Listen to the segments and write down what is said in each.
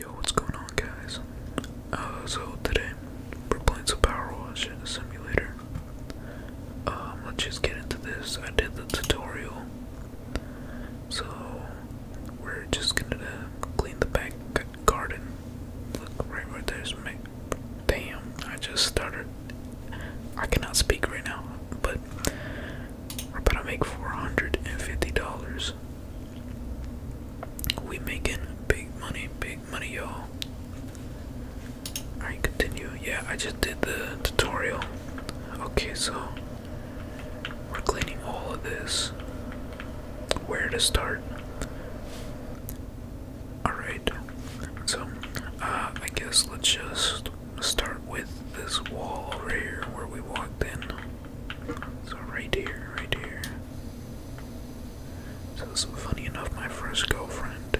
Yo, what's going on, guys? Uh, so today we're playing some Power Wash in a simulator. Um, let's just get into this. I did the tutorial, so we're just gonna clean the back garden. Look right, right there's Damn, I just started. I cannot speak right now, but i are about to make four hundred and fifty dollars. We making big money, big money, y'all. Alright, continue. Yeah, I just did the tutorial. Okay, so we're cleaning all of this. Where to start? Alright, so uh, I guess let's just start with this wall right here where we walked in. So right here, right here. So funny enough, my first girlfriend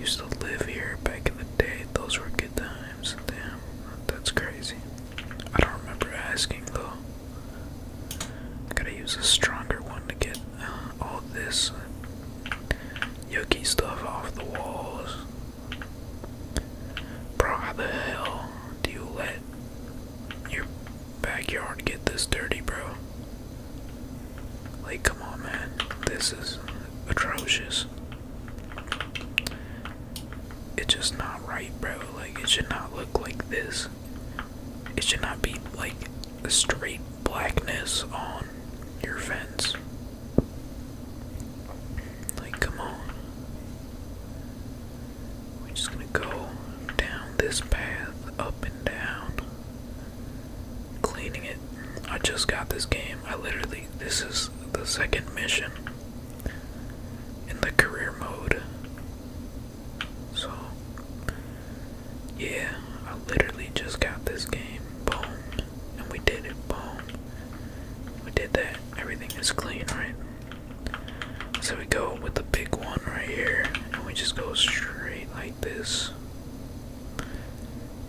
used to live here back in the day. Those were good times. Damn, that's crazy. I don't remember asking though. Gotta use a stronger one to get uh, all this yucky stuff off the walls. Bro, how the hell do you let your backyard get this dirty, bro? Like, come on, man. This is atrocious. It's just not right, bro. Like, it should not look like this. It should not be like a straight blackness on your fence. Like, come on. We're just gonna go down this path, up and down, cleaning it. I just got this game. I literally, this is the second mission in the career mode. So, yeah, I literally just got this game. Boom. And we did it. Boom. We did that. Everything is clean, right? So we go with the big one right here, and we just go straight like this.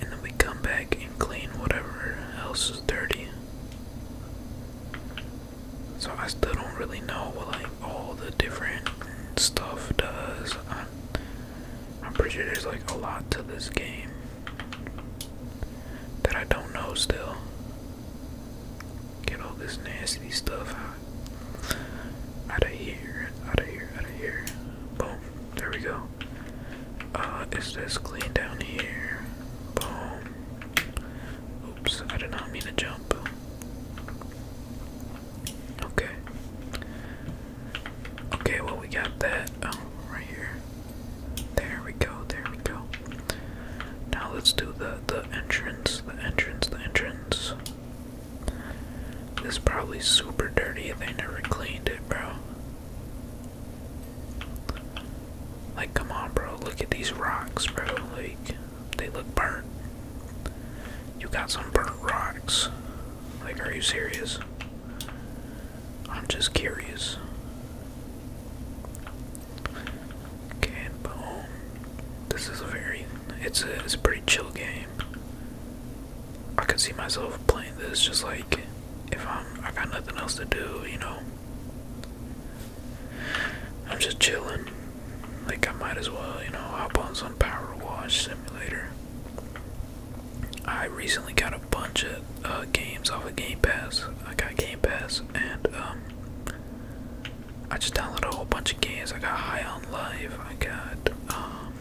And then we come back and clean whatever else is dirty. So I still don't really know what like all the different stuff does. I'm, pretty sure there's like a lot to this game that I don't know still. Get all this nasty stuff out. Out of here, out of here, out of here. Boom. There we go. Uh, is this clean down here? Boom. Oops, I did not mean to jump. Okay. Okay, well, we got that. Um, right here. There we go, there we go. Now let's do the the entrance, the entrance, the entrance. This probably super dirty. They never cleaned it, bro. Like, come on, bro. Look at these rocks, bro. Like, they look burnt. You got some burnt rocks. Like, are you serious? I'm just curious. Okay, boom. This is a very, it's a, it's a pretty chill game. I can see myself playing this just like if I'm, I got nothing else to do, you know. I'm just chilling. Like I might as well, you know, hop on some Power Wash Simulator. I recently got a bunch of uh, games off of Game Pass. I got Game Pass and um, I just downloaded a whole bunch of games. I got High on Life. I got um,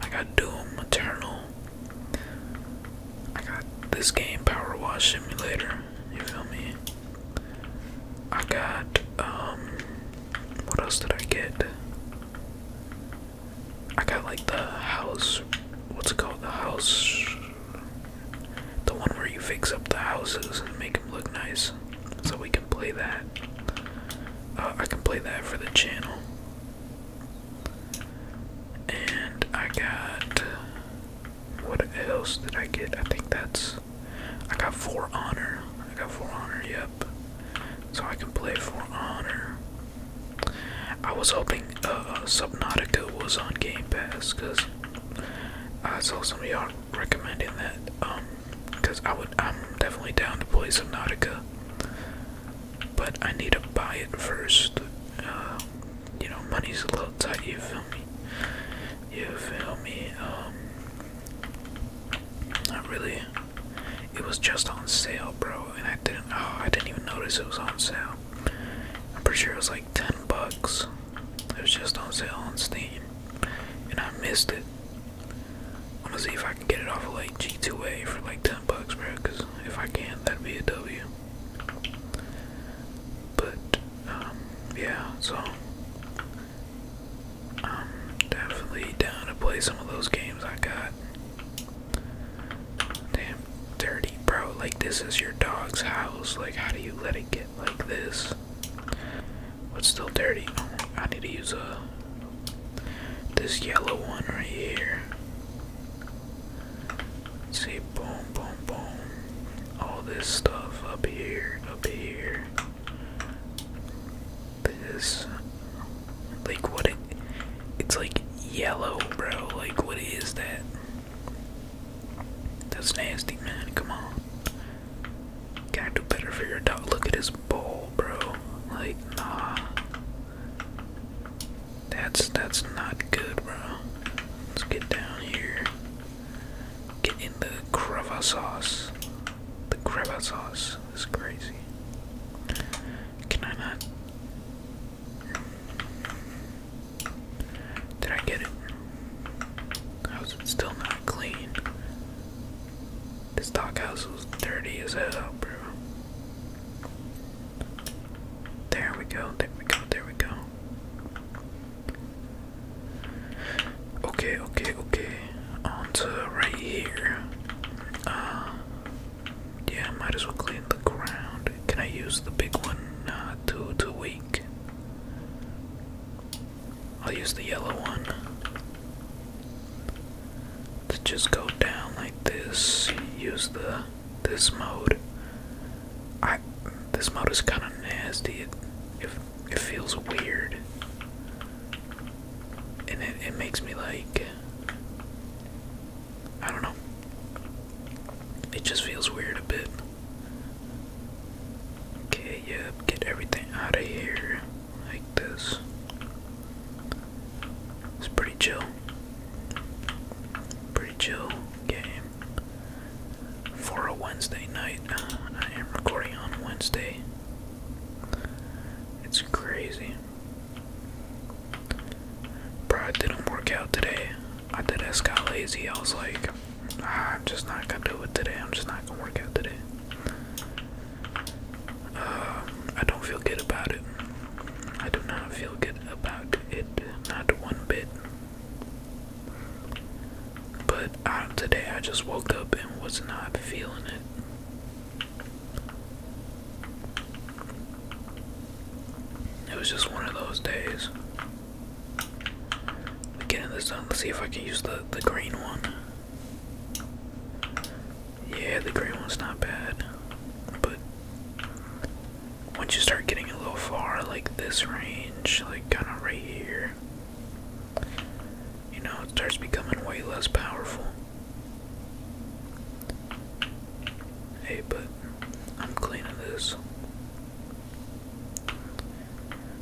I got Doom Eternal. I got this game Power Wash Simulator. You feel me? I got um, what else did I get? I got like the house. What's it called? The house the one where you fix up the houses and make them look nice. So we can play that. Uh, I can play that for the channel. And I got. What else did I get? I think that's. I got four Honor. I got four Honor, yep. So I can play For Honor. I was hoping uh, uh, Subnautica was on Game Pass because I saw some y'all recommending that, um, because I would, I'm definitely down to play some Nautica, but I need to buy it first. Uh, you know, money's a little tight. You feel me? You feel me? Um, not really. It was just on sale, bro, and I didn't. Oh, I didn't even notice it was on sale. I'm pretty sure it was like ten bucks. It was just on sale on Steam, and I missed it. I'm gonna see if I can get it off of like G2A for like 10 bucks, bro. Cause if I can, that'd be a W. But um, yeah, so I'm definitely down to play some of those games I got. Damn, dirty, bro. Like this is your dog's house. Like, how do you let it get? like this. What's still dirty? I need to use a uh, this yellow one right here. see, boom, boom, boom. All this stuff up here, up here. This, like, what it? It's like yellow, bro. Like, what is that? That's nasty, man. Come on. Gotta do better for your dog. Look at his bowl, bro. Like, nah. That's that's not good, bro. Let's get down here. Get in the creva sauce. The creva sauce is crazy. Can I not? Did I get it? I was still not clean? This dockhouse was dirty as hell, bro. There we go, there we go, there we go. Okay, okay, okay. Onto right here. Uh, yeah, might as well clean the ground. Can I use the big one? Uh, too, too weak. I'll use the yellow one to just go down like this. Use the this mode. I this mode is kind of nasty. It, it feels weird, and it it makes me like I don't know. It just feels weird a bit. Okay, yep, get everything out of here like this. It's pretty chill. Pretty chill game for a Wednesday night. Uh, I am recording on Wednesday. It's crazy. Bro, didn't work out today. I did ass got lazy. I was like, I'm just not gonna do it today. I'm just not gonna work out today. Um, I don't feel good about it. I do not feel good about it, not one bit. But I, today I just woke up and was not feeling it. It was just one of those days. Get in the zone. Let's see if I can use the the green one. Yeah, the green one's not bad, but once you start getting a little far, like this range, like kind of right here, you know, it starts becoming way less powerful. Hey, but I'm cleaning this.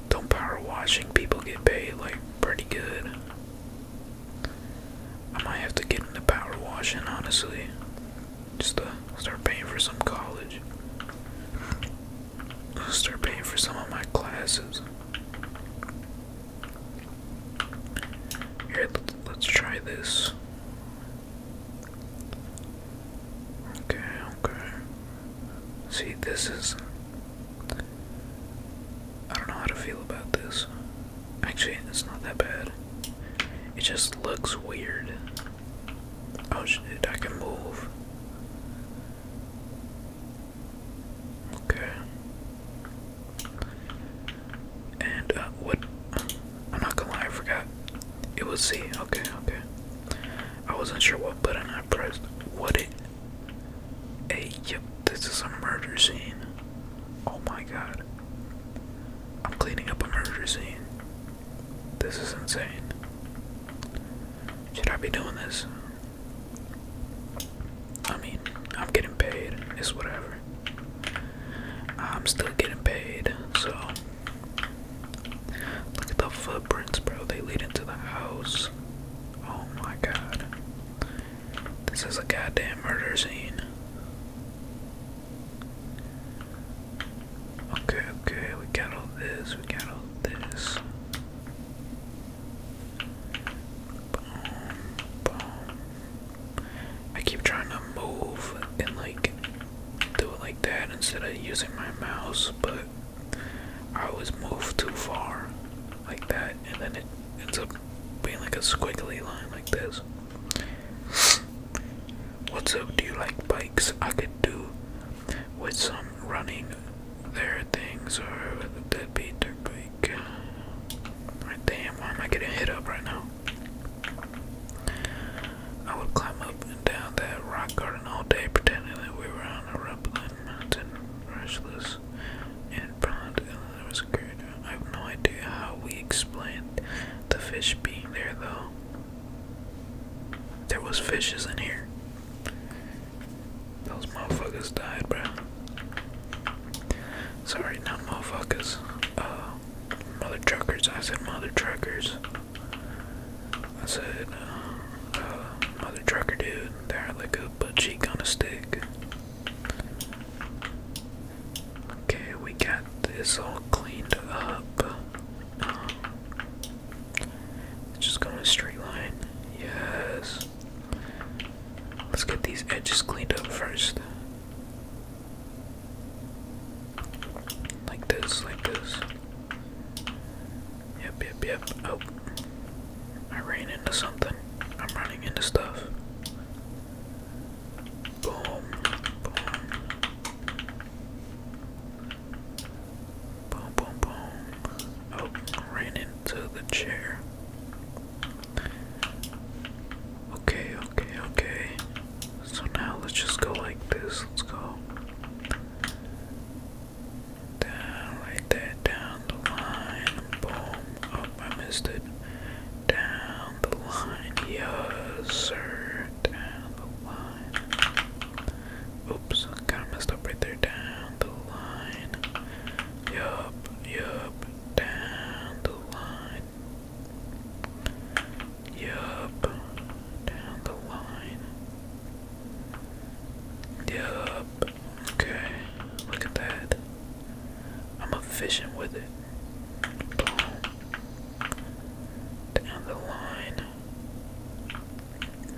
Don't power washing people get paid like pretty good. I might have to get into power washing honestly. Just to start paying for some college. Start paying for some of my classes. Here, let's try this. Okay, okay. See, this is. I don't know how to feel about this. Actually, it's not that bad. It just looks weird. Oh shit, I can move. Okay. And, uh, what? I'm not gonna lie, I forgot it was C. Okay, okay. I wasn't sure what button I pressed. What it? Hey, yep. This is a murder scene. Oh my god. I'm cleaning up a murder scene. This is insane. Should I be doing this? I mean, I'm getting paid. It's whatever. I'm still getting paid, so Look at the footprints, bro. They lead into the house. Oh my god. This is a goddamn murder scene. Okay, okay, we got all this, we got all this. Boom, boom. I keep trying to move and like do it like that instead of using my mouse, but I always move too far like that, and then it ends up being like a squiggly line like this. What's up? Do you like bikes? I could do with some running there things or that beat their bike. damn, why am I getting hit up right now? I would climb up and down that rock garden all day, pretending that we were on a rumbling mountain, restless and prone to was great. I have no idea how we explained the fish being there, though. There was fishes in here. Those motherfuckers died, bro. Sorry, not motherfuckers. Uh, mother truckers. I said mother truckers. I said, "Mother uh, trucker dude, there like a butt cheek on a stick. Okay, we got this all cleaned up. Um, just going in straight line. Yes. Let's get these edges cleaned up first. Like this, like this. Yep, yep, yep. Oh. I ran into something. I'm running into stuff. Boom, boom. Boom, boom, boom. Oh, ran into the chair. Okay, okay, okay. So now let's just go like this. Let's go. Down like that, down the line. Boom. Oh, I missed it. Down the line. Yes, sir. Down the line. Oops, kind of messed up right there. Down the line. Yup, yup. Down the line. Yup. Down the line. Yup. Okay. Look at that. I'm efficient with it. Down the line.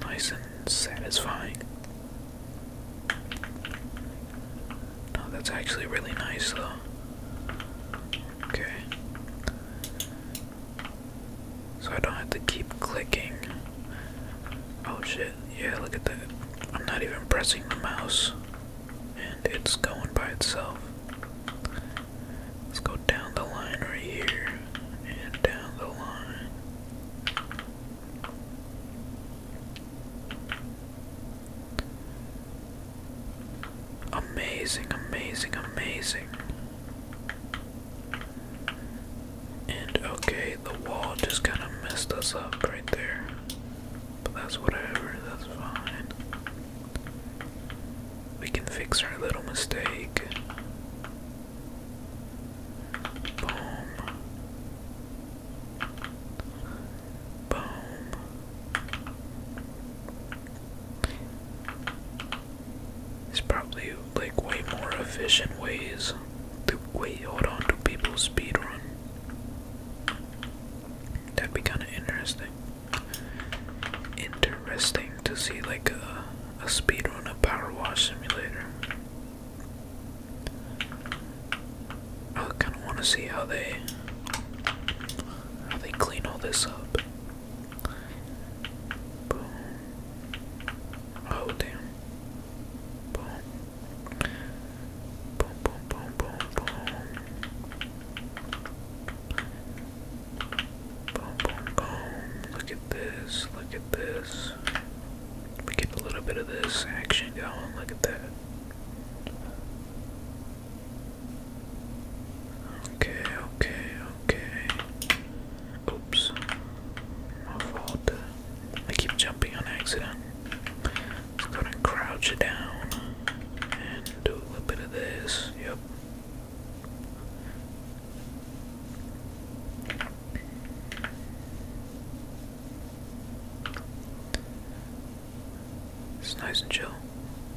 Nice and satisfying. No, that's actually really nice though. Okay. So I don't have to keep clicking. Oh shit, yeah, look at that. I'm not even pressing the mouse, and it's going by itself. Let's go down the line right here, and down the line. Amazing, amazing, amazing. And okay, the wall just kind of messed us up right there. But that's whatever, that's fine. We can fix our little mistake. Boom. Boom. There's probably like way more efficient ways to wait hold on to people's speed run. That'd be kinda interesting. Interesting to see like a, a run a power wash simulator. I kinda wanna see how they how they clean all this up. Boom. Oh damn. Boom. Boom, boom, boom, boom, boom. Boom, Look at this. Look at this. We get a little bit of this action going. Look at that. Okay, okay, okay. Oops. My fault. I keep jumping on accident. Let's go and crouch down and do a little bit of this. Yep. It's nice and chill.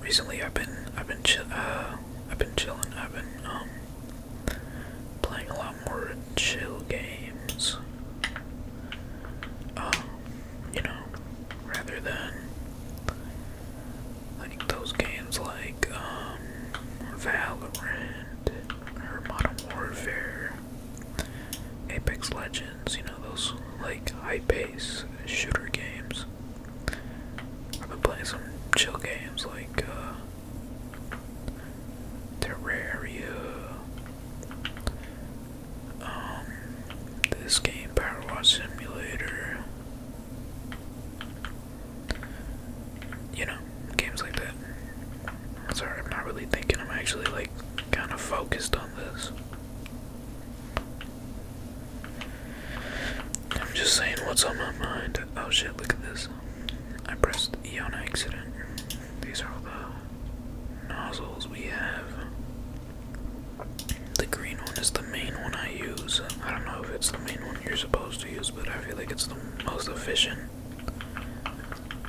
Recently, I've been, I've been chill, uh, I've been chilling. I've been um Playing a lot more chill games. Um, you know, rather than like those games like um, Valorant or Modern Warfare, Apex Legends, you know, those like high paced shooter games. I've been playing some chill games like uh, Terraria. Um, this game, Power Watch Simulator. You know, games like that. I'm sorry, I'm not really thinking. I'm actually like kind of focused on this. I'm just saying what's on my mind. Oh shit, look at this. I pressed E on accident. These are all the nozzles we have. The green one is the main one I use. I don't know if it's the main one you're supposed to use, but I feel like it's the most efficient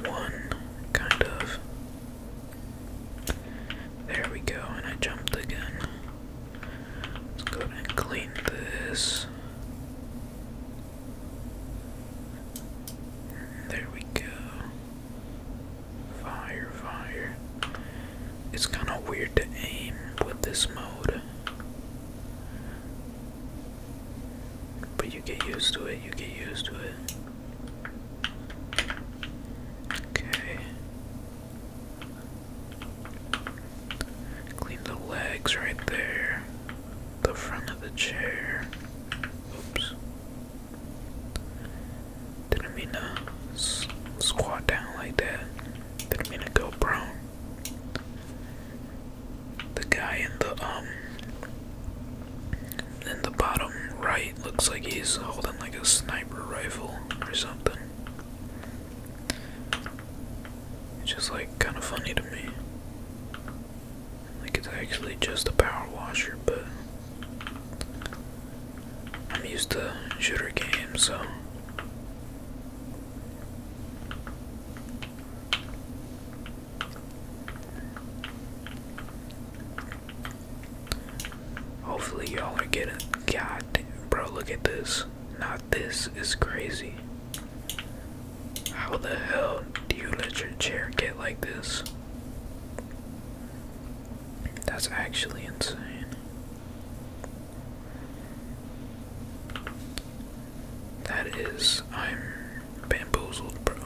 one, kind of. There we go, and I jumped again. Let's go and clean this. There we go. Fire, fire. It's kind of weird to aim with this mode. But you get used to it, you get used to it. Okay. Clean the legs right there. The front of the chair. Oops. Didn't mean to squat down like that. Didn't mean to go prone. The guy in the um in the bottom right looks like he's holding like a sniper rifle or something. It's just like kind of funny to me. Like it's actually just a power washer, but I'm used to shooter games, so. Hopefully y'all are getting god damn, bro look at this not this is crazy. How the hell do you let your chair get like this? That's actually insane. That is, I'm bamboozled, bro.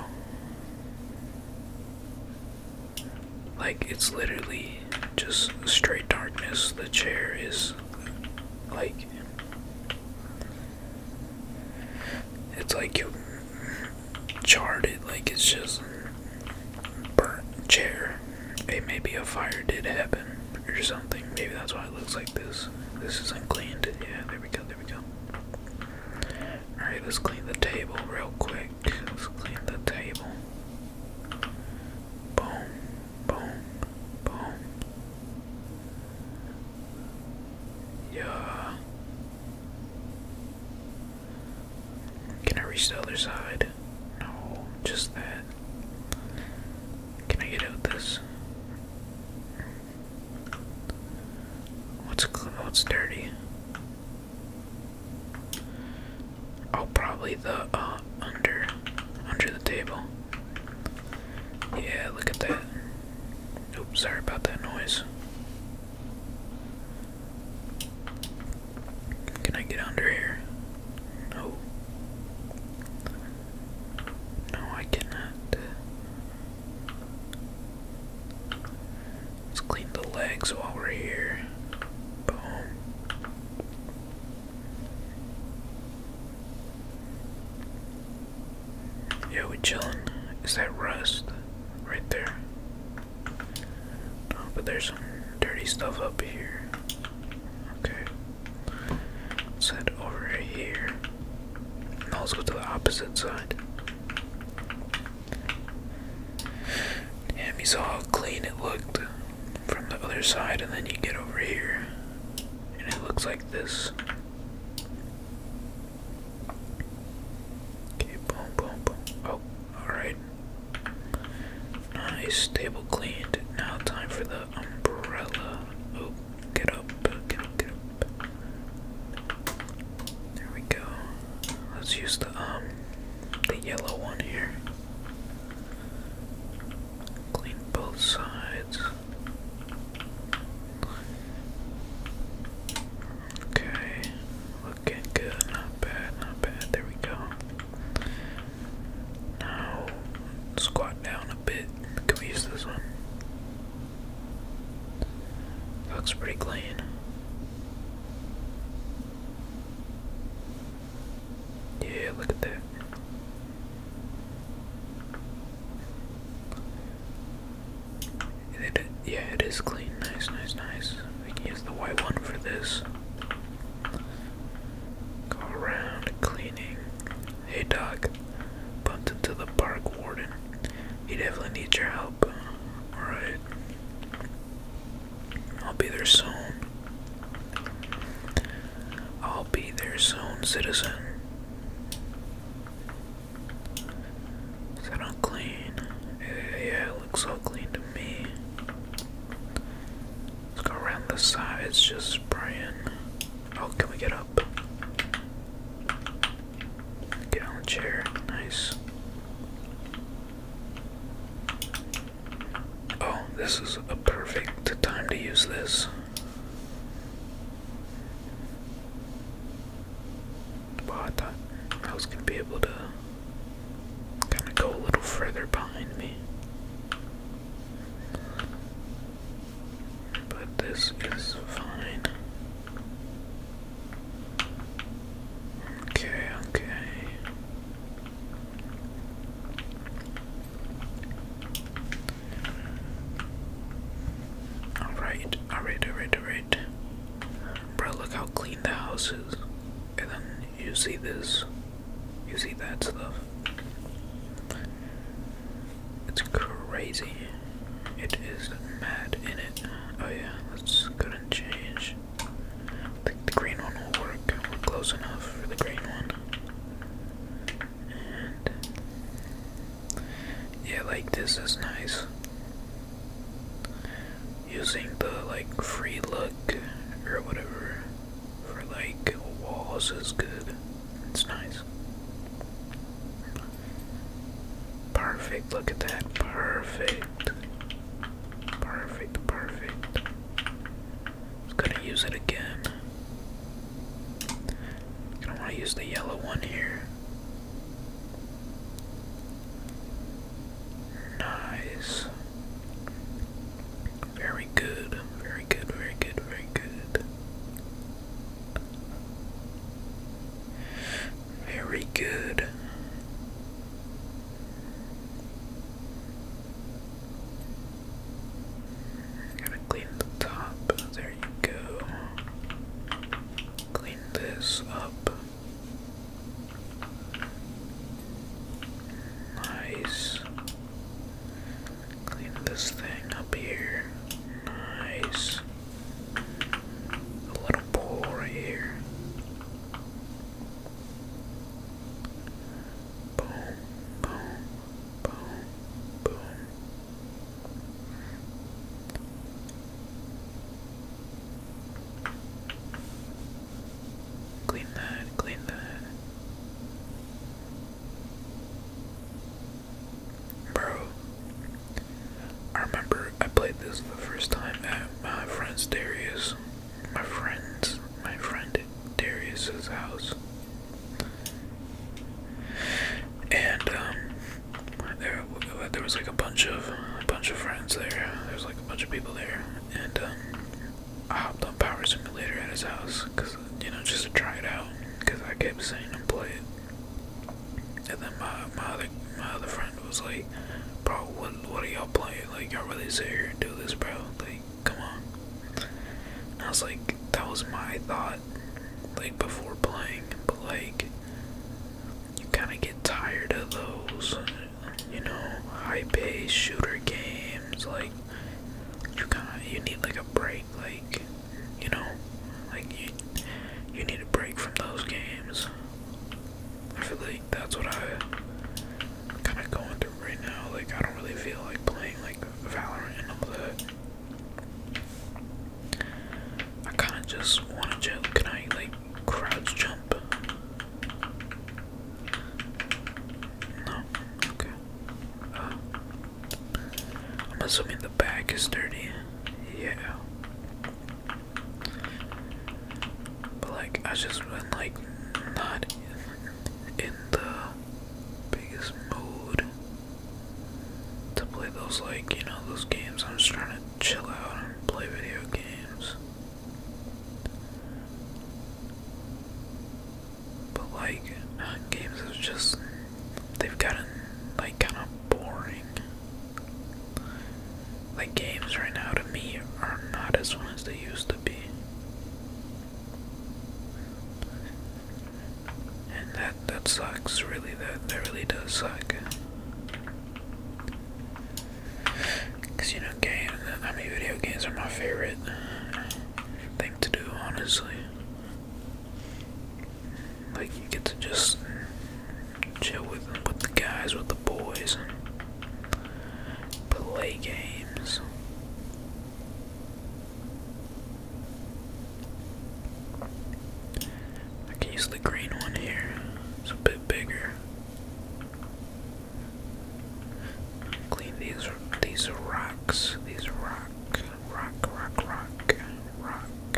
Like, it's literally just straight darkness. The chair is like, it's like you charred it, like it's just burnt chair. Hey, maybe a fire did happen or something. Maybe that's why it looks like this. This isn't cleaned. Yeah, there we go, there we go. Alright, let's clean the table real quick. Let's clean the table. Boom boom, boom. Yeah. Can I reach the other side? No, just that. Can I get out this? What's what's dirty? Oh, probably the uh under under the table. Yeah, look at that. Oops, sorry about that noise. Can I get under here? No. No, I cannot. Let's clean the legs while we're here. Boom. Yeah, Yo, chilling. is that rust right there? No, oh, but there's some dirty stuff up here. Okay. Let's head here. let's go to the opposite side. Damn, you saw how clean it looked from the other side, and then you get over here and it looks like this. Okay, boom, boom, boom. Oh, alright. Nice, table cleaned. Now, time for the umbrella. Oh, get up, get up, get up. There we go. Let's use the um the yellow one here. Clean both sides. Okay, looking good, not bad, not bad. There we go. Now, squat down a bit. Can we use this one? Looks pretty clean. Yeah, look at that yeah, it is clean. Nice, nice, nice. We can use the white one for this. Go around cleaning. Hey, dog. Bumped into the park warden. He definitely needs your help. Alright. I'll be there soon. I'll be there soon, citizen. Is that unclean? Yeah, it looks so clean to me. Let's go around the sides, just spraying. Oh, can we get up? Get on the chair, nice. Oh, this is a perfect time to use this. Well, I thought be able to kind of go a little further behind me. But this is fine. Okay, okay. Alright, alright, alright, alright. Bro, look how clean the house is. And then you see this. You see that stuff. It's crazy. It is mad in it. Oh yeah, let's go and change. the green one will work. We're close enough for the green one yeah like this is nice using the like free look or whatever for like walls is good it's nice perfect look at that perfect perfect perfect I'm gonna use it again. I don't want to use the yellow one here. Nice. Very good. Very good. Very good. Very good. Very good. Gotta clean the top. There you go. Clean this up. Nice. Clean this thing up here. Nice. A little bowl right here. Boom, boom, boom, boom. Clean that, clean that. Bro, I remember I played this the first time at my friend's Darius. My friend's, my friend Darius's house and um, there there was like a bunch of a bunch of friends there. There's like a bunch of people there, and um, I hopped on Power Simulator at his house, cause you know just to try it out, cause I kept saying to play it, and then my my other my other friend was like, bro, what what are y'all playing? Like y'all really sit here and do this, bro? Like, come on. I was like, that was my thought, like, before playing. But, like, you kind of get tired of those, you know, high paced shooter games. Like, you kind of, you need, like, a break. Like, you know, like, you, you need a break from those games. I feel like that's what I. I'm kind of going through right now. Like, I don't really feel like playing like Valorant and all that. I kind of just want to Can I like crouch jump? No. Okay. Uh, I'm assuming the back is dirty. Yeah. But like I just been like not in the biggest mood to play those, like, you know, those games. I'm just trying to chill out and play video games. But, like, games are just, they've gotten, like, kind of boring. Like, games right now to me are not as fun as they used to be. And that that sucks, really. That that really does suck. Cause you know, game. I mean, video games are my favorite thing to do, honestly. Like you get to just chill with with the guys, with the boys, and play games. I can use the green one here. It's a bit bigger. Clean these these rocks. These rock, rock, rock, rock, rock.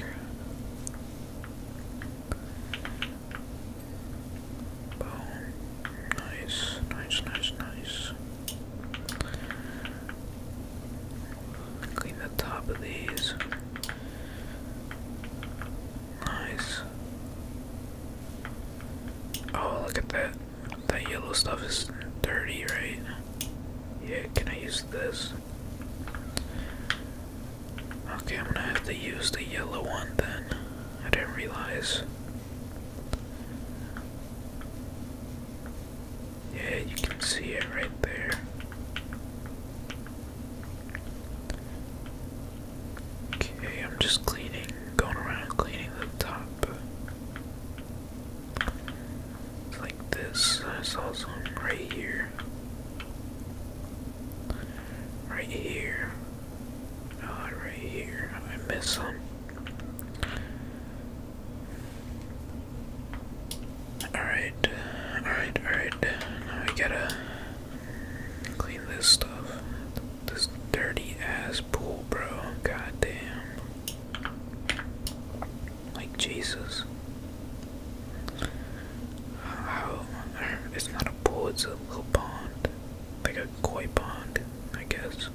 Boom. Nice, nice, nice, nice. Clean the top of these. Nice. Oh, look at that. That yellow stuff is dirty, right? Yeah, can I use this? Okay, I'm gonna have to use the yellow one then. I didn't realize. Yeah, you can see it right there. Okay, I'm just cleaning, going around cleaning the top. It's like this. I saw some right here. Right here. Not oh, right here. I missed some. Alright, alright, alright. Now we gotta clean this stuff. This dirty ass pool, bro. God damn. Like Jesus. How? It's not a pool, it's a little pond. Like a koi pond, I guess.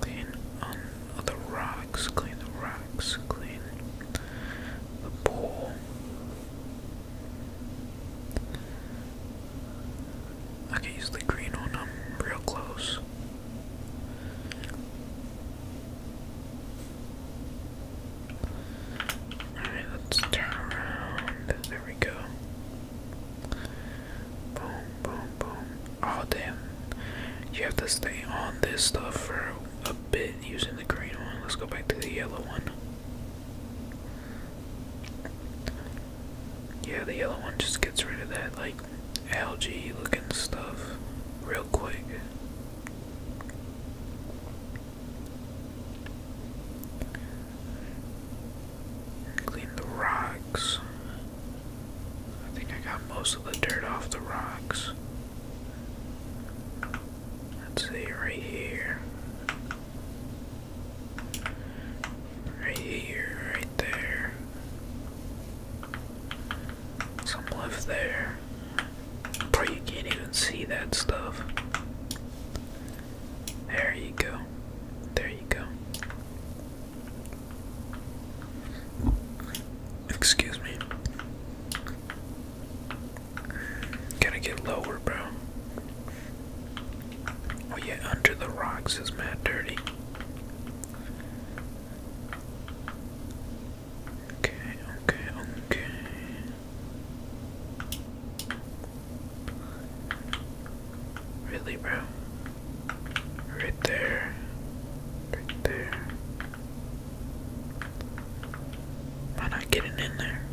Clean on the rocks, clean the rocks, clean the pool. I can use the green one, i real close. Alright, let's turn around. There we go. Boom, boom, boom. Oh, damn. You have to stay on this stuff for a bit using the green one. Let's go back to the yellow one. Yeah, the yellow one just gets rid of that, like, algae looking stuff real quick. Clean the rocks. I think I got most of the dirt off the rocks. Let's see, right here. Right here, right there. Some left there. Probably you can't even see that stuff. There you go. There you go. Excuse me. Gotta get lower, bro. Oh, yeah, under the rocks is mad dirty. Okay, okay, okay. Really, bro? Right there. Right there. Am I not getting in there?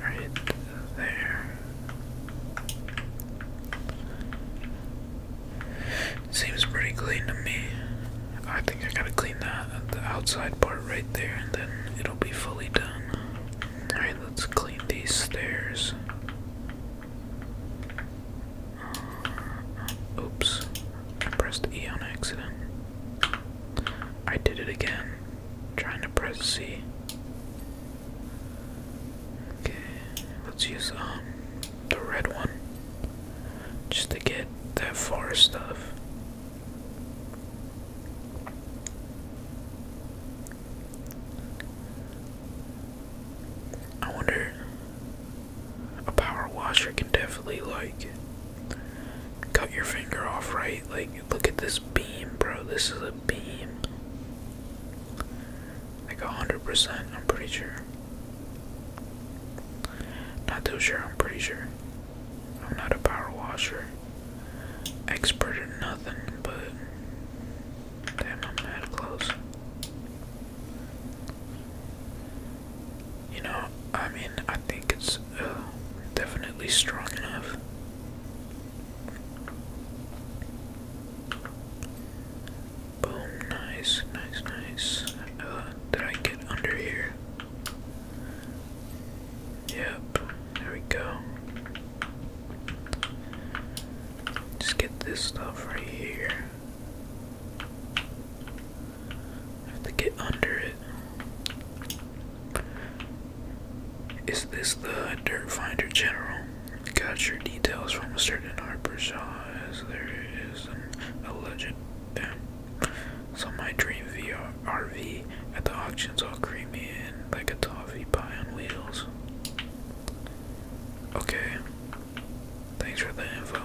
Right there. Seems pretty clean to me. I think I gotta clean that the outside part right there, and then it'll be fully done. Alright, let's clean these stairs. Uh, oops, I pressed E on accident. I did it again, trying to press C. Okay, let's use um the red one just to get that forest stuff. I wonder a power washer can definitely like cut your finger off, right? Like look at this beam, bro. This is a beam. Like a hundred percent, I'm pretty sure. Not too sure, I'm pretty sure. I'm not a power washer expert or nothing, but damn, I'm mad close. You know, I mean, I think it's uh, definitely strong enough. Boom, nice, nice, nice. Uh, did I get under here? Yep, there we go. Just get this stuff right here. have to get under it. Is this the dirt finder general? Got your details from a certain harbor oh, shop as there is an alleged so my dream VR RV at the auction's all creamy and like a toffee pie on wheels. Okay. Thanks for the info.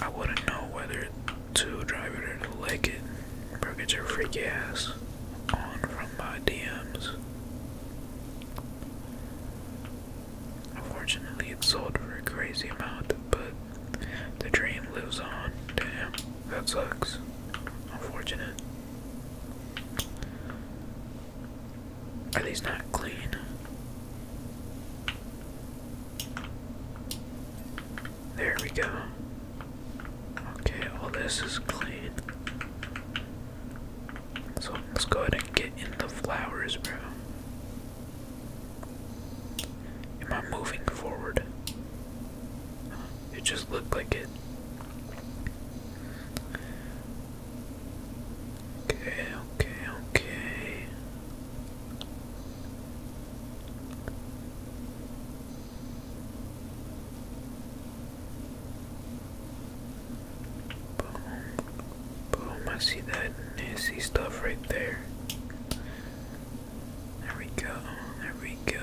I wouldn't know whether to drive it or to like it. Bro, get your freaky ass on from my DMs. Unfortunately, it sold for a crazy amount, but the dream lives on. Damn, that sucks. Unfortunate. Are these not clean? There we go. Okay, all this is clean. So let's go ahead and get in the flowers, bro. Am I moving forward? It just looked like it. Okay, okay, okay. Boom. Boom, I see that nasty stuff right there. There we go. There we go.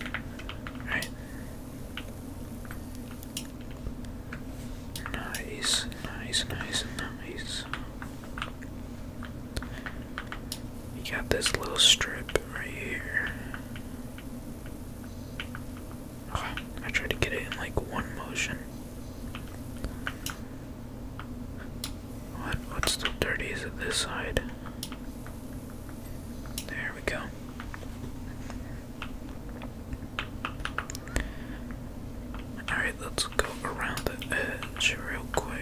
All right. Nice, nice, nice, nice. You got this little strip right here. I tried to get it in like one motion. What what's the Is it this side? There we go. Alright, let's go around the edge real quick.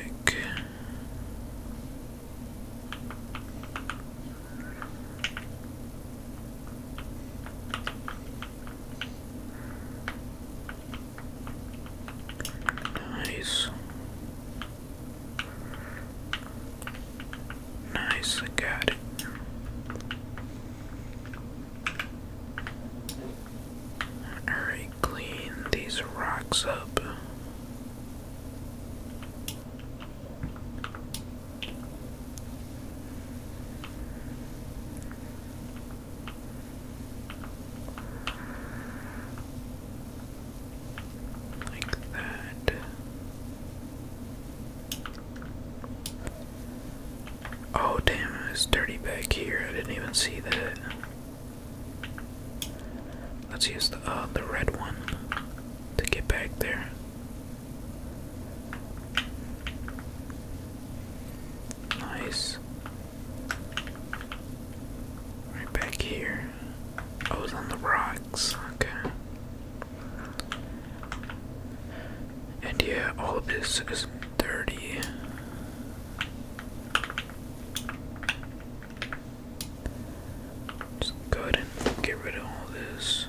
Nice. Nice, I got it. Alright, clean these rocks up. Like that. Oh, damn, it's dirty back here. I didn't even see that. Let's use the, uh, the red one to get back there. Nice. Right back here. Oh, I was on the rocks. Okay. And yeah, all of this is dirty. Just go ahead and get rid of all this.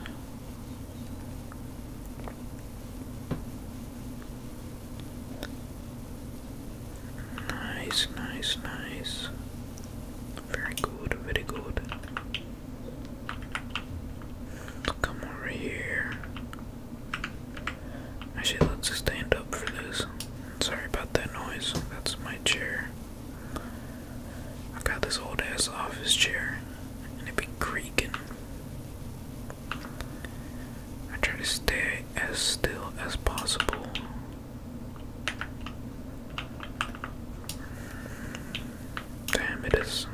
Nice, nice, nice. Very good, very good. Come over here. Actually, let's stand up for this. Sorry about that noise. That's my chair. i got this old ass office chair, and it be creaking. I try to stay as still as possible. Damn, it is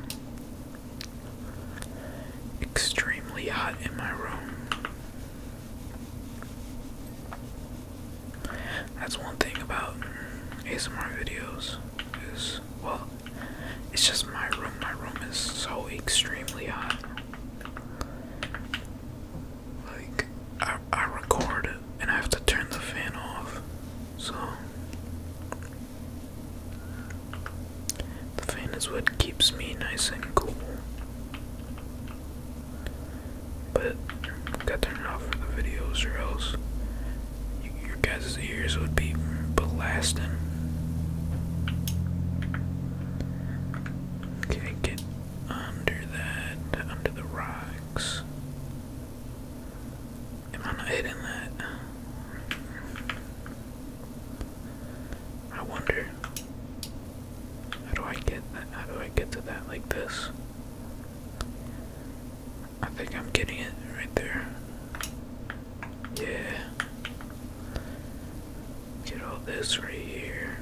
extremely hot in my room. That's one thing about ASMR videos is well, it's just my room. My room is so extremely hot. Like, I, I record and I have to turn the fan off. So, the fan is what keeps me nice and cool. But, gotta turn it off for the videos, or else your guys' ears would be blasting. Okay, get under that, under the rocks. Am I not hitting that? I wonder. How do I get that? How do I get to that like this? I think I'm getting it right there. Yeah. Get all this right here.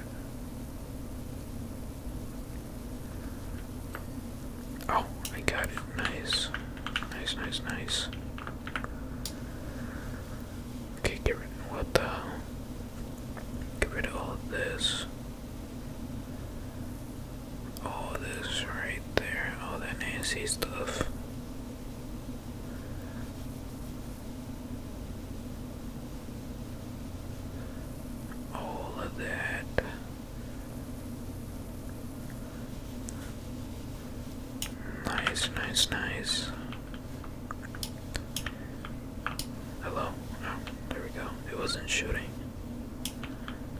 Oh, I got it. Nice. Nice, nice, nice. Okay, get rid of what the hell? Get rid of all this. All this right there. All that nasty stuff all of that. Nice, nice, nice. Hello? Oh, there we go. It wasn't shooting.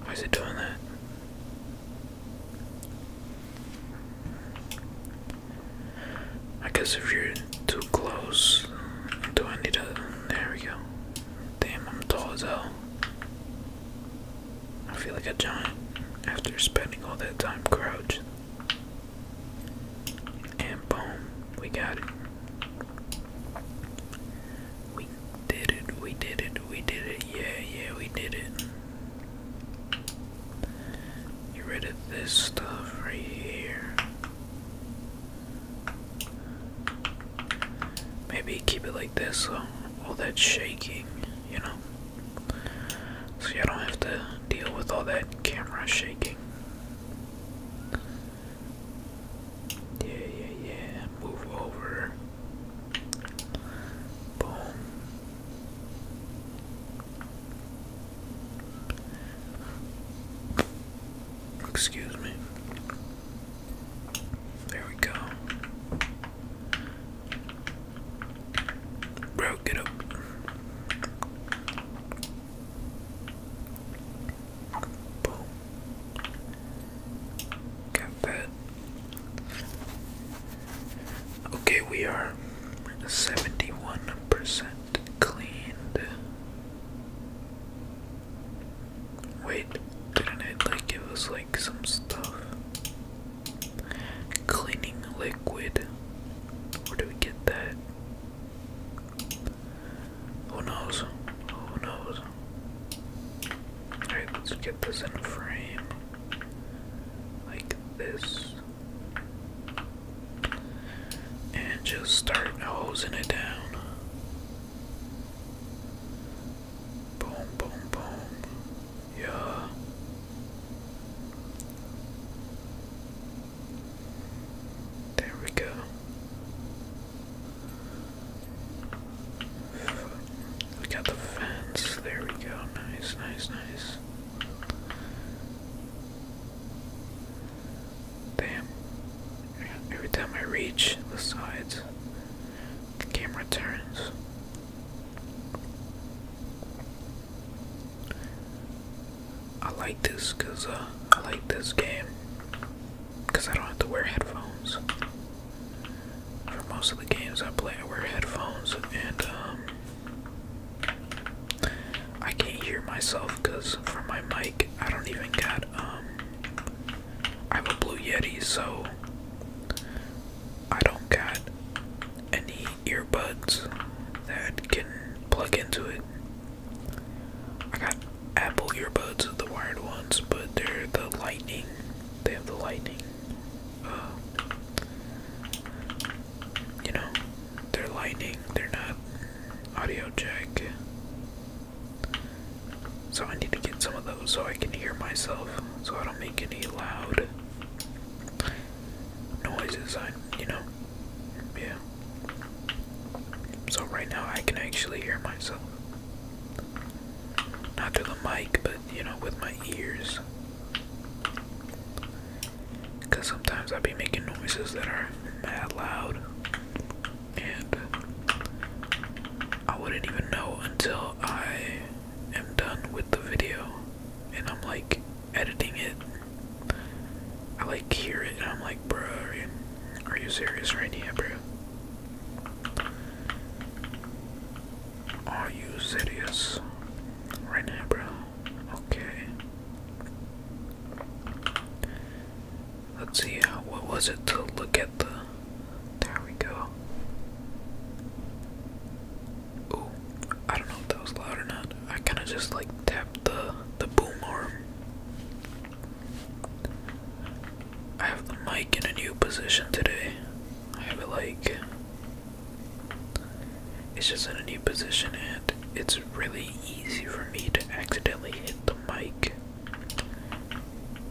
Why is it doing that? I guess if you're too close, do I need a. There we go. Damn, I'm tall as hell. I feel like a giant after spending all that time crouching. And boom, we got it. We did it, we did it, we did it, yeah, yeah, we did it. Get rid of this stuff right here. Maybe keep it like this, so all that shaking, you know? So you don't have to deal with all that camera shaking. Yeah, yeah, yeah. Move over. Boom. Excuse me. There we go. Bro, get up. Boom. Got that. Okay, we are 71% cleaned. Wait, didn't it like give us like some stuff? Cleaning liquid. Where do we get that? Who knows? Who knows? Alright, let's get this in frame. Like this and just start hosing it down. Boom, boom, boom. Yeah. There we go. We got the fence. There we go. Nice, nice, nice. Damn. Every time I reach the sides, the camera turns. I like this because uh, I like this game because I don't have to wear headphones. For most of the games I play, I wear headphones and um, I can't hear myself because for my mic, I don't even got, um, I have a Blue Yeti, so I don't got any earbuds that can plug into it. I got Apple earbuds, the wired ones, but they're the lightning. They have the lightning. Uh, you know, they're lightning, they're not audio jack. So I need to get some of those so I can hear myself, so I don't make any loud noises, I, you know, yeah. So right now I can actually hear myself. Not through the mic, but, you know, with my ears. Because sometimes I be making noises that are mad loud. And I wouldn't even know until I am done with the video. And I'm like editing it. I like hear it and I'm like, bro, are you, are you serious right now, bro? Are you serious right now, bro? Okay. Let's see, uh, what was it to look at the. There we go. Ooh, I don't know if that was loud or not. I kind of just like tapped the, the boom arm. I have the mic in a new position today. I have it like it's just in a new position, and it's really easy for me to accidentally hit the mic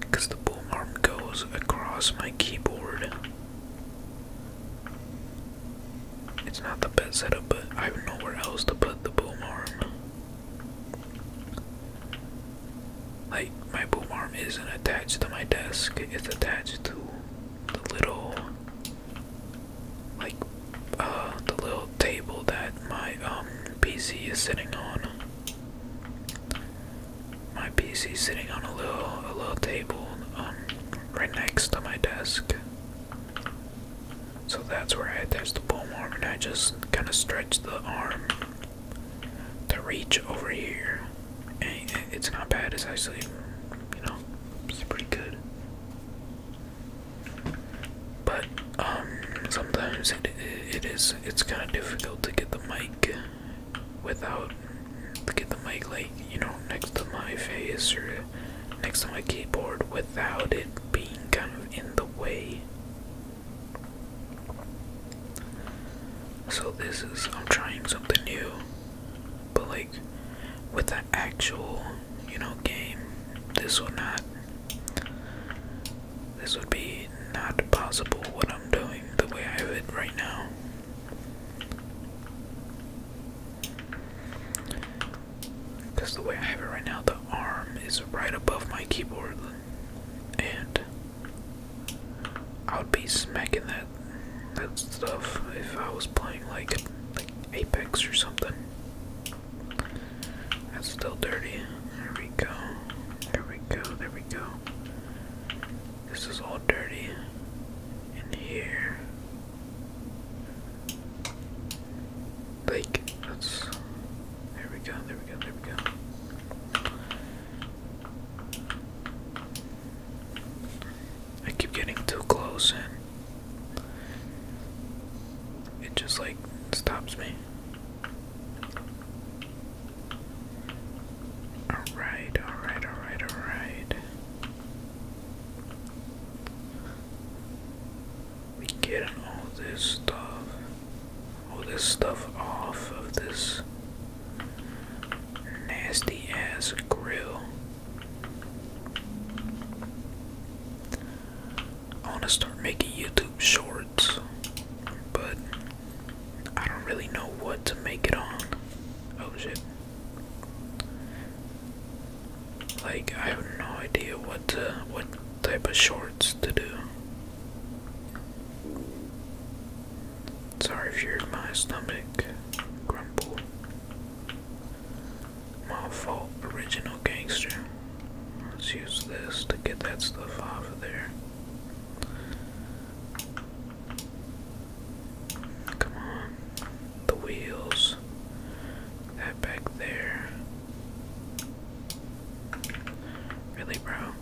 because the boom arm goes across my keyboard. It's not the best setup, but I have nowhere else to put the boom arm. Like, my boom arm isn't attached to my desk, it's attached to the little like uh, the little table that my um PC is sitting on. My PC is sitting on a little a little table um right next to my desk. So that's where I attach the boom arm and I just kind of stretch the arm to reach over here. And it's not bad. It's actually, you know, it's pretty good. But um, sometimes it, it is it's kind of difficult to get the mic without to get the mic like you know next to my face or next to my keyboard without it being kind of in the way. So this is I'm trying something new. But like with the actual, you know, game, this would not this would be not possible what I'm doing the way I have it right now. Because the way I have it right now, the arm is right above my keyboard, and I would be smacking that that stuff if I was playing like Apex or something. That's still dirty. There we go. There we go. There we go. This is all dirty in here. Like, that's. There we go. There we go. There we go. I keep getting too close and it just like stops me. Alright, alright, alright, alright. We getting all this stuff, all this stuff off of this nasty ass grill. I want to start making YouTube shorts, but I don't really know what to make it on. Oh shit. Like I have no idea what what type of shorts to do. Sorry if you heard my stomach grumble. My fault, original gangster. Let's use this to get that stuff off of there. Come on. The wheels. That back there. Really, bro?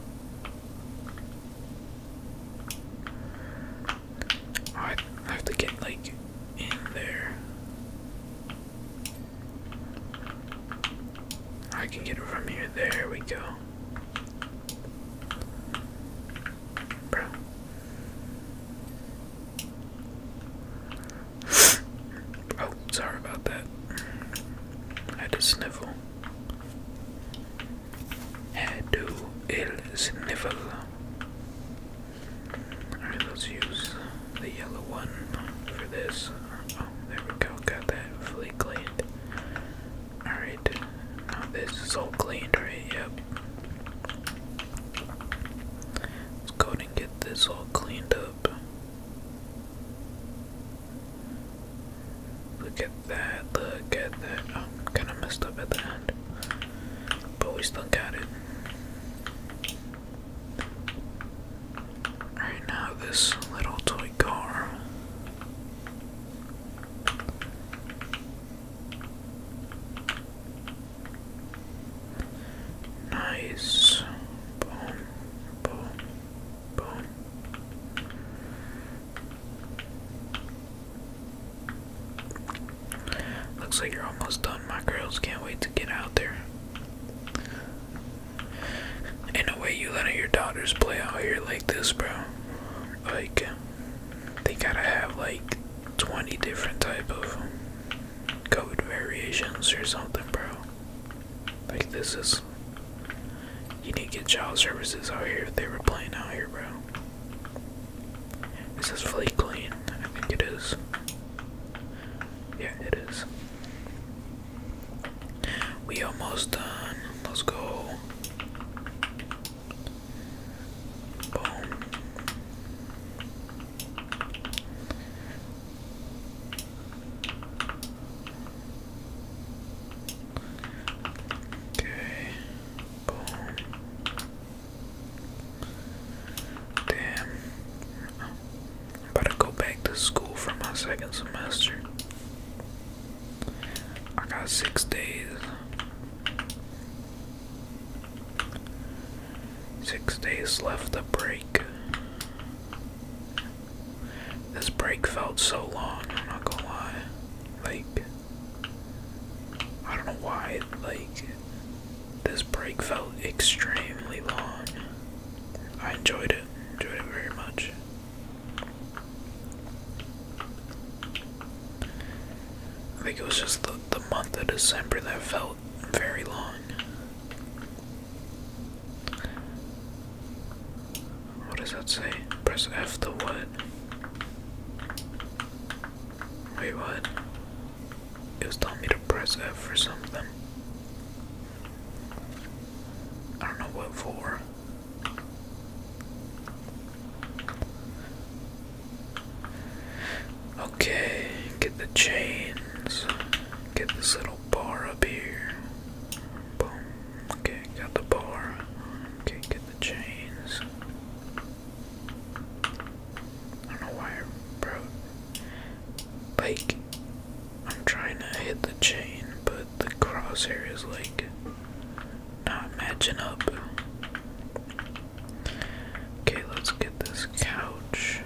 I have to get like in there. I can get it from here. There we go. Bro. oh, sorry about that. I do sniffle. Had to ill sniffle. Alright, let's use the yellow one for this. Oh, there we go. Got that fully cleaned. Alright, now this is all cleaned, right? Yep. Let's go ahead and get this all cleaned up. Look at that, look at that. I'm oh, kind of messed up at the end but we still got it. Alright, now this little toy car. Nice. Boom, boom, boom. Looks like you're almost done. My girls can't wait to get out there. In a way, you letting your daughters play out here like this, bro. Like, they gotta have like 20 different type of code variations or something, bro. Like, this is. You need to get child services out here if they were playing out here, bro. This is fully clean. I think it is. Yeah, it is. We almost done. Let's go. Boom. Okay. Boom. Damn. i go back to school for my second semester. I got six days. Six days left of break. This break felt so long, I'm not gonna lie. Like, I don't know why, like, this break felt extremely long. I enjoyed it, enjoyed it very much. I think it was just the, the month of December that felt very long. What does that say? Press F to what? Wait, what? it was telling me to press F for something. I don't know what for. Okay, get the chains. Get this little bar up here. Boom. Okay, got the bar. Okay, get the chains. I don't know why I wrote I'm trying to hit the chain, but the crosshair is like not matching up. Okay, let's get this couch.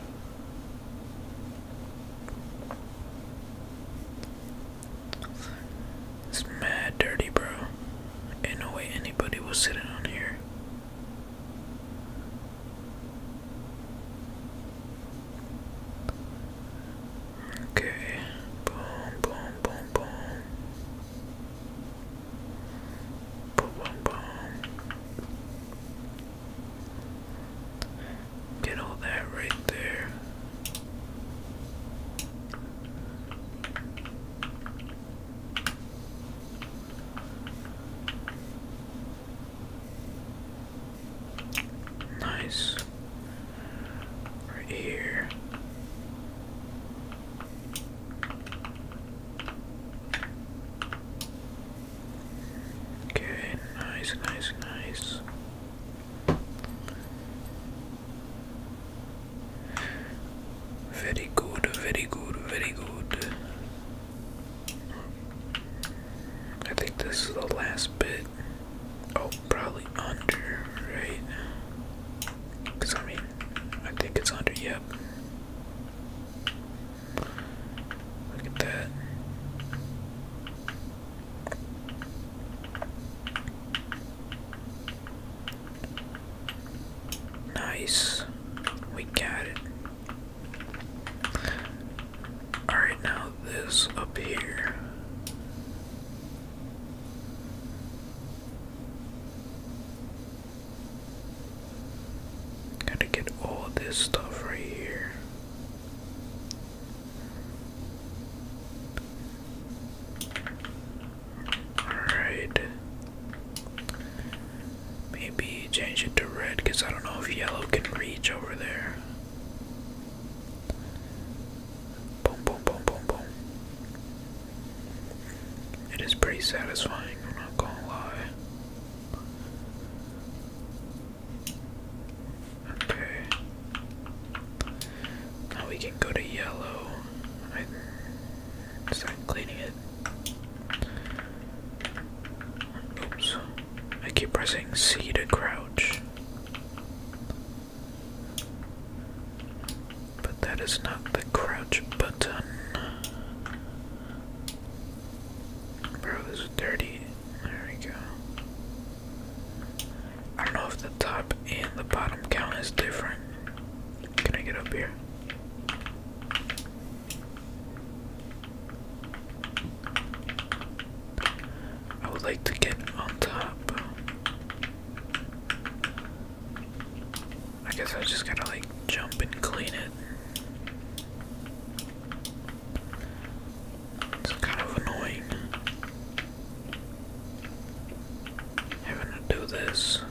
This mad dirty, bro. Ain't no way anybody was sitting on here. Okay, boom, boom, boom, boom. Boom, boom, Get all that right there. Nice. Right here. Okay, nice, nice, nice. Very good, very good, very good. I think this is the last bit. Oh, probably under, right? Because I mean, I think it's under, yep. Look at that. Nice. We got it. Alright, now this up here. Gotta get all this stuff right here. Alright. Maybe change it to red because I don't know if yellow can reach over there. Boom, boom, boom, boom, boom. It is pretty satisfying, I'm not gonna lie. Okay. Now we can go to yellow start cleaning it. Oops. I keep pressing C to crouch. But that is not the crouch button. Bro, this is dirty. There we go. I don't know if the top and the bottom count is different. Can I get up here? I would like to get on top. I guess I just gotta like jump and clean it. It's kind of annoying having to do this.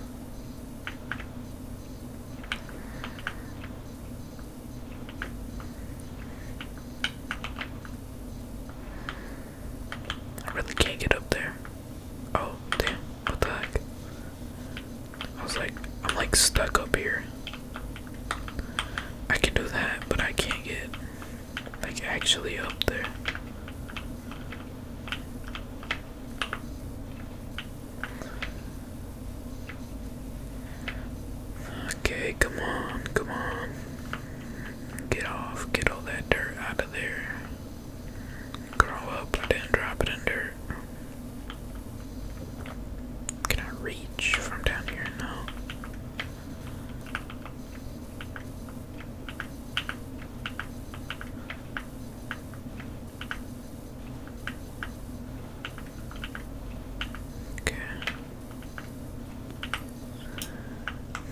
I really can't get up there. Oh, damn, what the heck? I was like, I'm like stuck up here. I can do that, but I can't get like actually up there. Okay, come on, come on. Get off, get all that dirt out of there. Grow up, I did drop it in Can I reach from down here? No. Okay.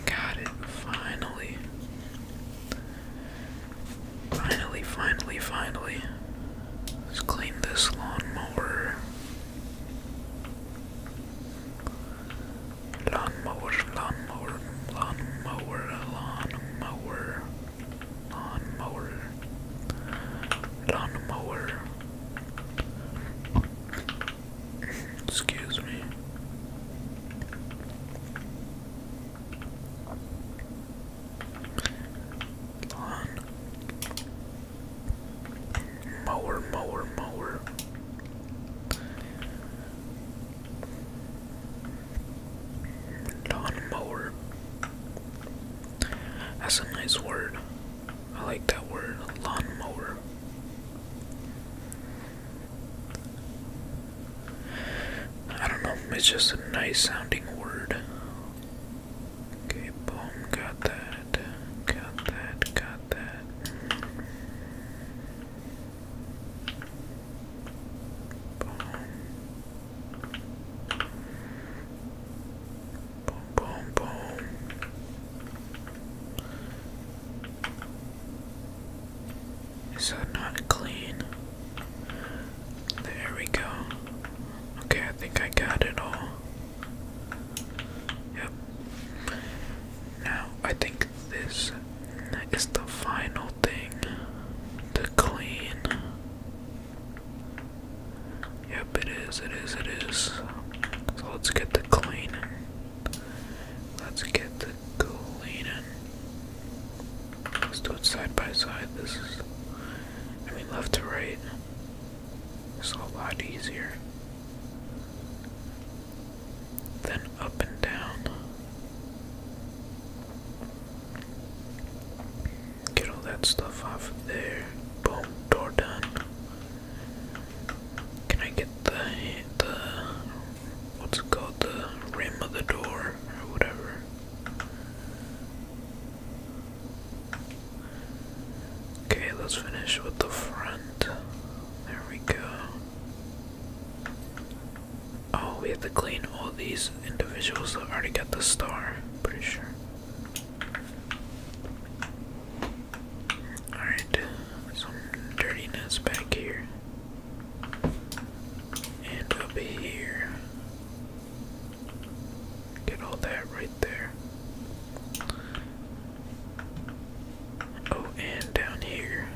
Got it. Finally. Finally, finally, finally. Let's clean this lawnmower. Lawnmower, lawnmower, lawnmower, lawnmower. Lawn mower. Lawn mower. Excuse me. Lawn. Mower, mower, mower. Lawnmower. That's a nice word. I like that word, lawnmower. I don't know, it's just a nice sounding word. Okay, boom, got that, got that, got that. Boom. Boom, boom, boom. Is that not clean? There we go. Okay, I think I got it all. Yep. Now, I think this is the final thing to clean. Yep, it is, it is, it is. So let's get the cleaning. Let's get the cleaning. Let's do it side by side. This is, I mean, left to right. It's a lot easier than up and down. Get all that stuff off there. Boom, door done. Can I get the the what's it called the rim of the door or whatever? Okay, let's finish with the front. There we go. Oh, we have to clean all these individuals that already got the star, pretty sure. Alright, some dirtiness back here. And up here. Get all that right there. Oh, and down here.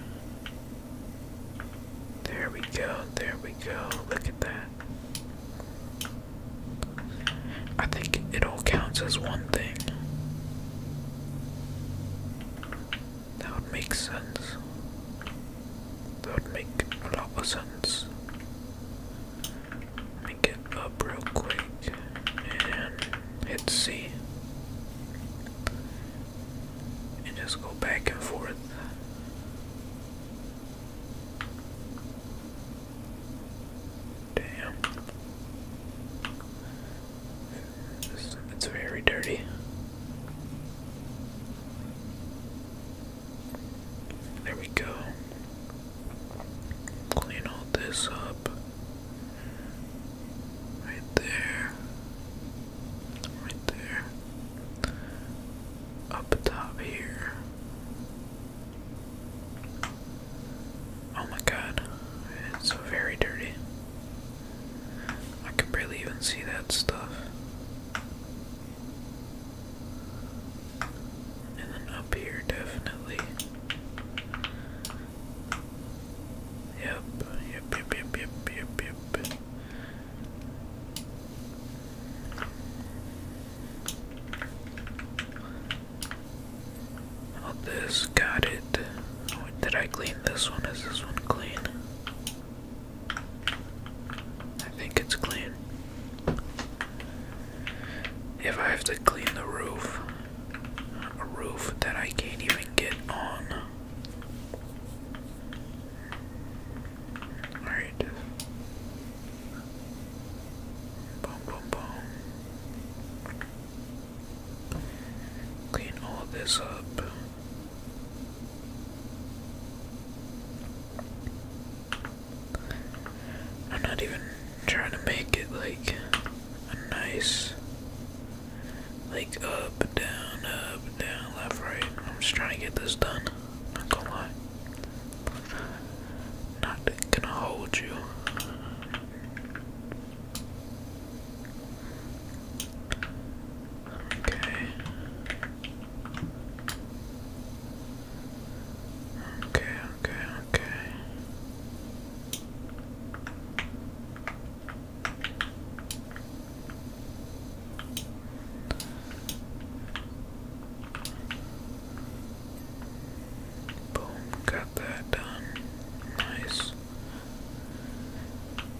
There we go, there we go. Look at that. I think it all counts as one thing. That would make sense. That would make a lot of sense. Let me get up real quick and hit C. And just go back and forth. Damn. It's, very dirty. There we go. Clean all this up. Right there. Right there up top here. Oh my god, it's very dirty. I can barely even see that stuff. And then up here, definitely. yep, yep, yep, yep, yep, yep. Oh, this got it. Oh, did I clean this one? Is this one clean? I think it's clean. If I have to clean the roof, a roof that I can't even get on. Alright. Boom, boom, boom. Clean all this up. I'm not even trying to make it like nice, like up, down, up, down, left, right. I'm just trying to get this done. Not gonna lie. Not gonna hold you. Okay. Okay, okay, okay. Boom, got that done. Nice.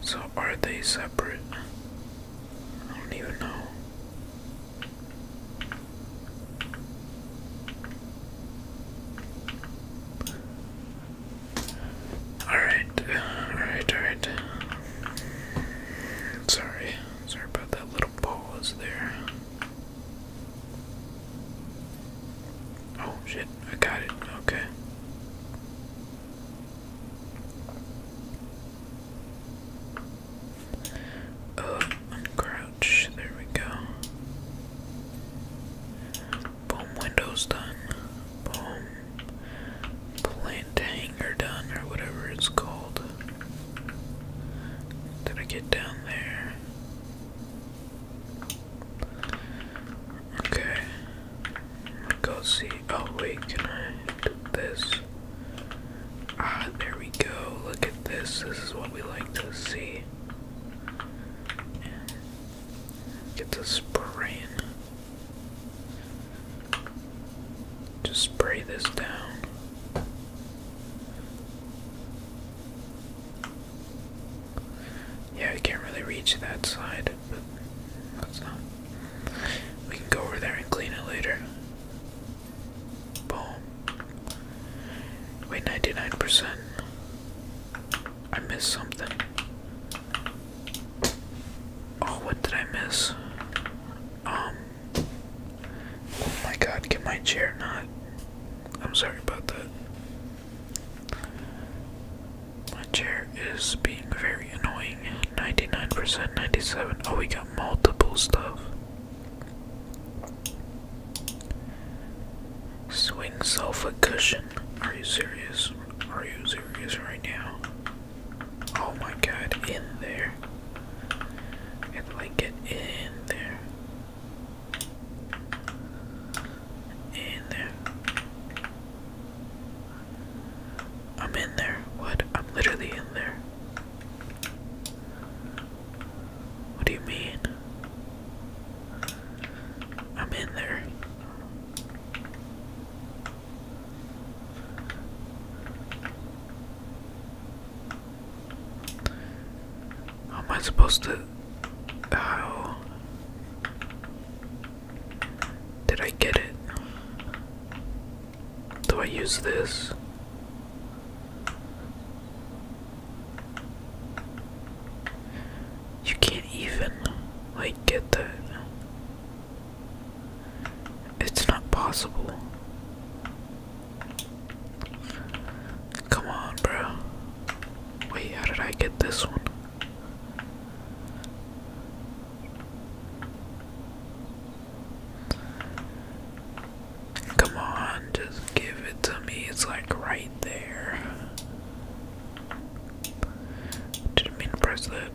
So, are they separate? I don't even know. Alright, alright, alright. Sorry. Sorry about that little pause there. Oh shit, I got it. Okay. Uh, uncrouch. There we go. Boom, windows done. Boom. Plan giant done or whatever it's called. Did I get down there? Okay. Go see. Oh, wait, can I do this? Ah, there we go. Look at this. This is what we like to see. Get the spraying. Just spray this down. Yeah, we can't really reach that side, but that's not. We can go over there and clean it later. Boom. Wait, 99%. I missed something. Oh, what did I miss? Um, Oh my god, can my chair not? I'm sorry about that. My chair is being very annoying. 99%, 97. Oh, we got multiple stuff. Swing sofa cushion. Are you serious? Are you serious right now? Oh my god, in there. And like get in there. In there. I'm in there. What? I'm literally in there. What do you mean? I'm in there. How am I supposed to? How did I get it? Do I use this? You can't even like get that. It's not possible. Come on, bro. Wait, how did I get this one? Come on, just give it to me. It's like right there. Didn't mean to press that.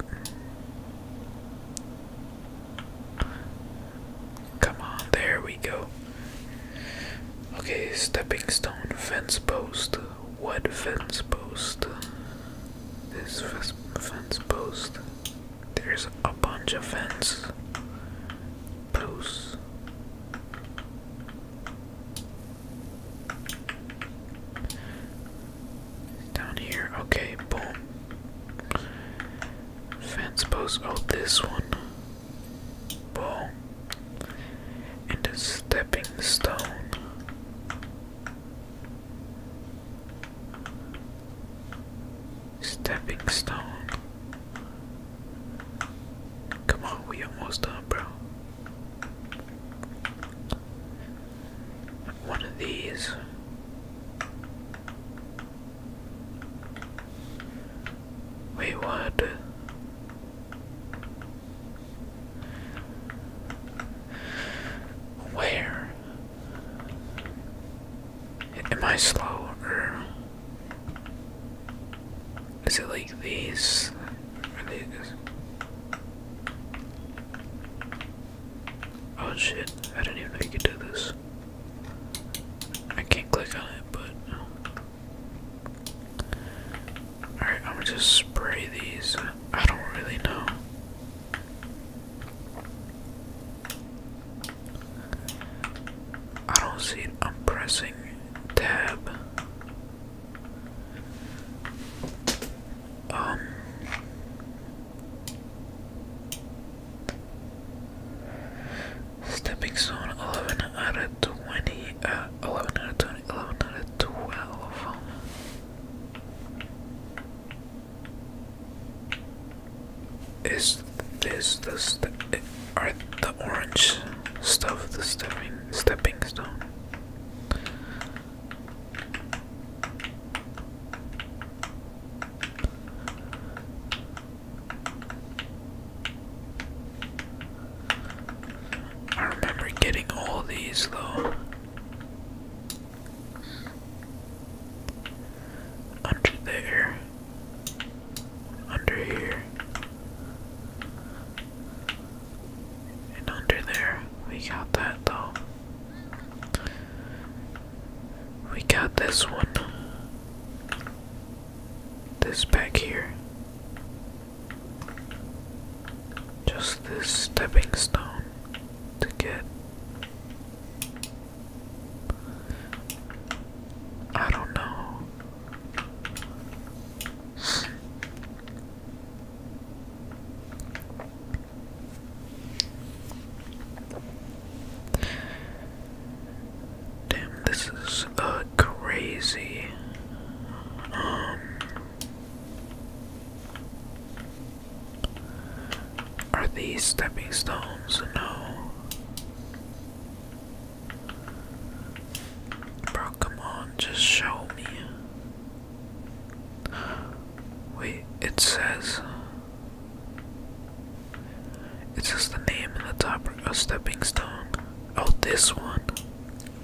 Come on, there we go. Okay, stepping stone, fence post. What fence post? This fence post. There's a bunch of fence posts. Down here, okay, boom. Fence post, oh, this one. Boom. And a stepping stone. Stepping stone. Come on, we almost done, bro one of these. Wait, what? Where? Am I slow or is it like these? Oh shit, I didn't even know you could do this. I can't click on it, but. Alright, I'm gonna just spray these. I don't really know. I don't see it. I'm pressing tab. Um, Stepping zone 11 out of 20, uh, 11 out of 20, 11 out of 12. Is this the step? Are the orange stuff the stepping stepping stone? I remember getting all these though. Under there. Under here. And under there. We got that though. We got this one. This back here. Just this stepping stone to get. I don't know. Damn, this is uh, crazy. Um, are these stepping stones? No. Bro, come on, just show me. Wait, it says it's just the name in the top a stepping stone. Oh, this one,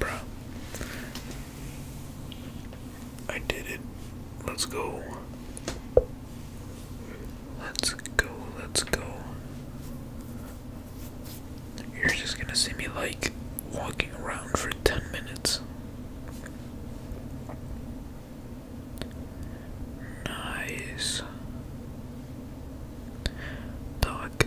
bro. I did it. Let's go. Let's go. Let's go. You're just gonna see me like walking around for 10 minutes. Nice. Doc,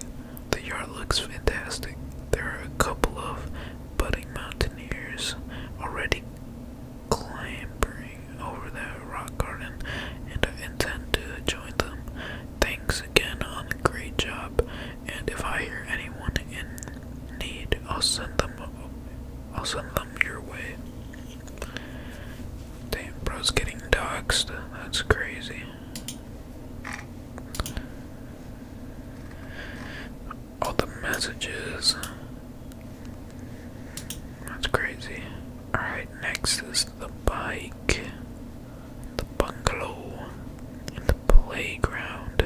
the yard looks fantastic. There are a couple of budding mountaineers already clambering over that rock garden, and I intend to join them. Thanks again on the great job, and if I hear anyone in need, I'll send them a. I'll send your way. Damn, bro's getting doxxed. That's crazy. All the messages. That's crazy. Alright, next is the bike, the bungalow, and the playground.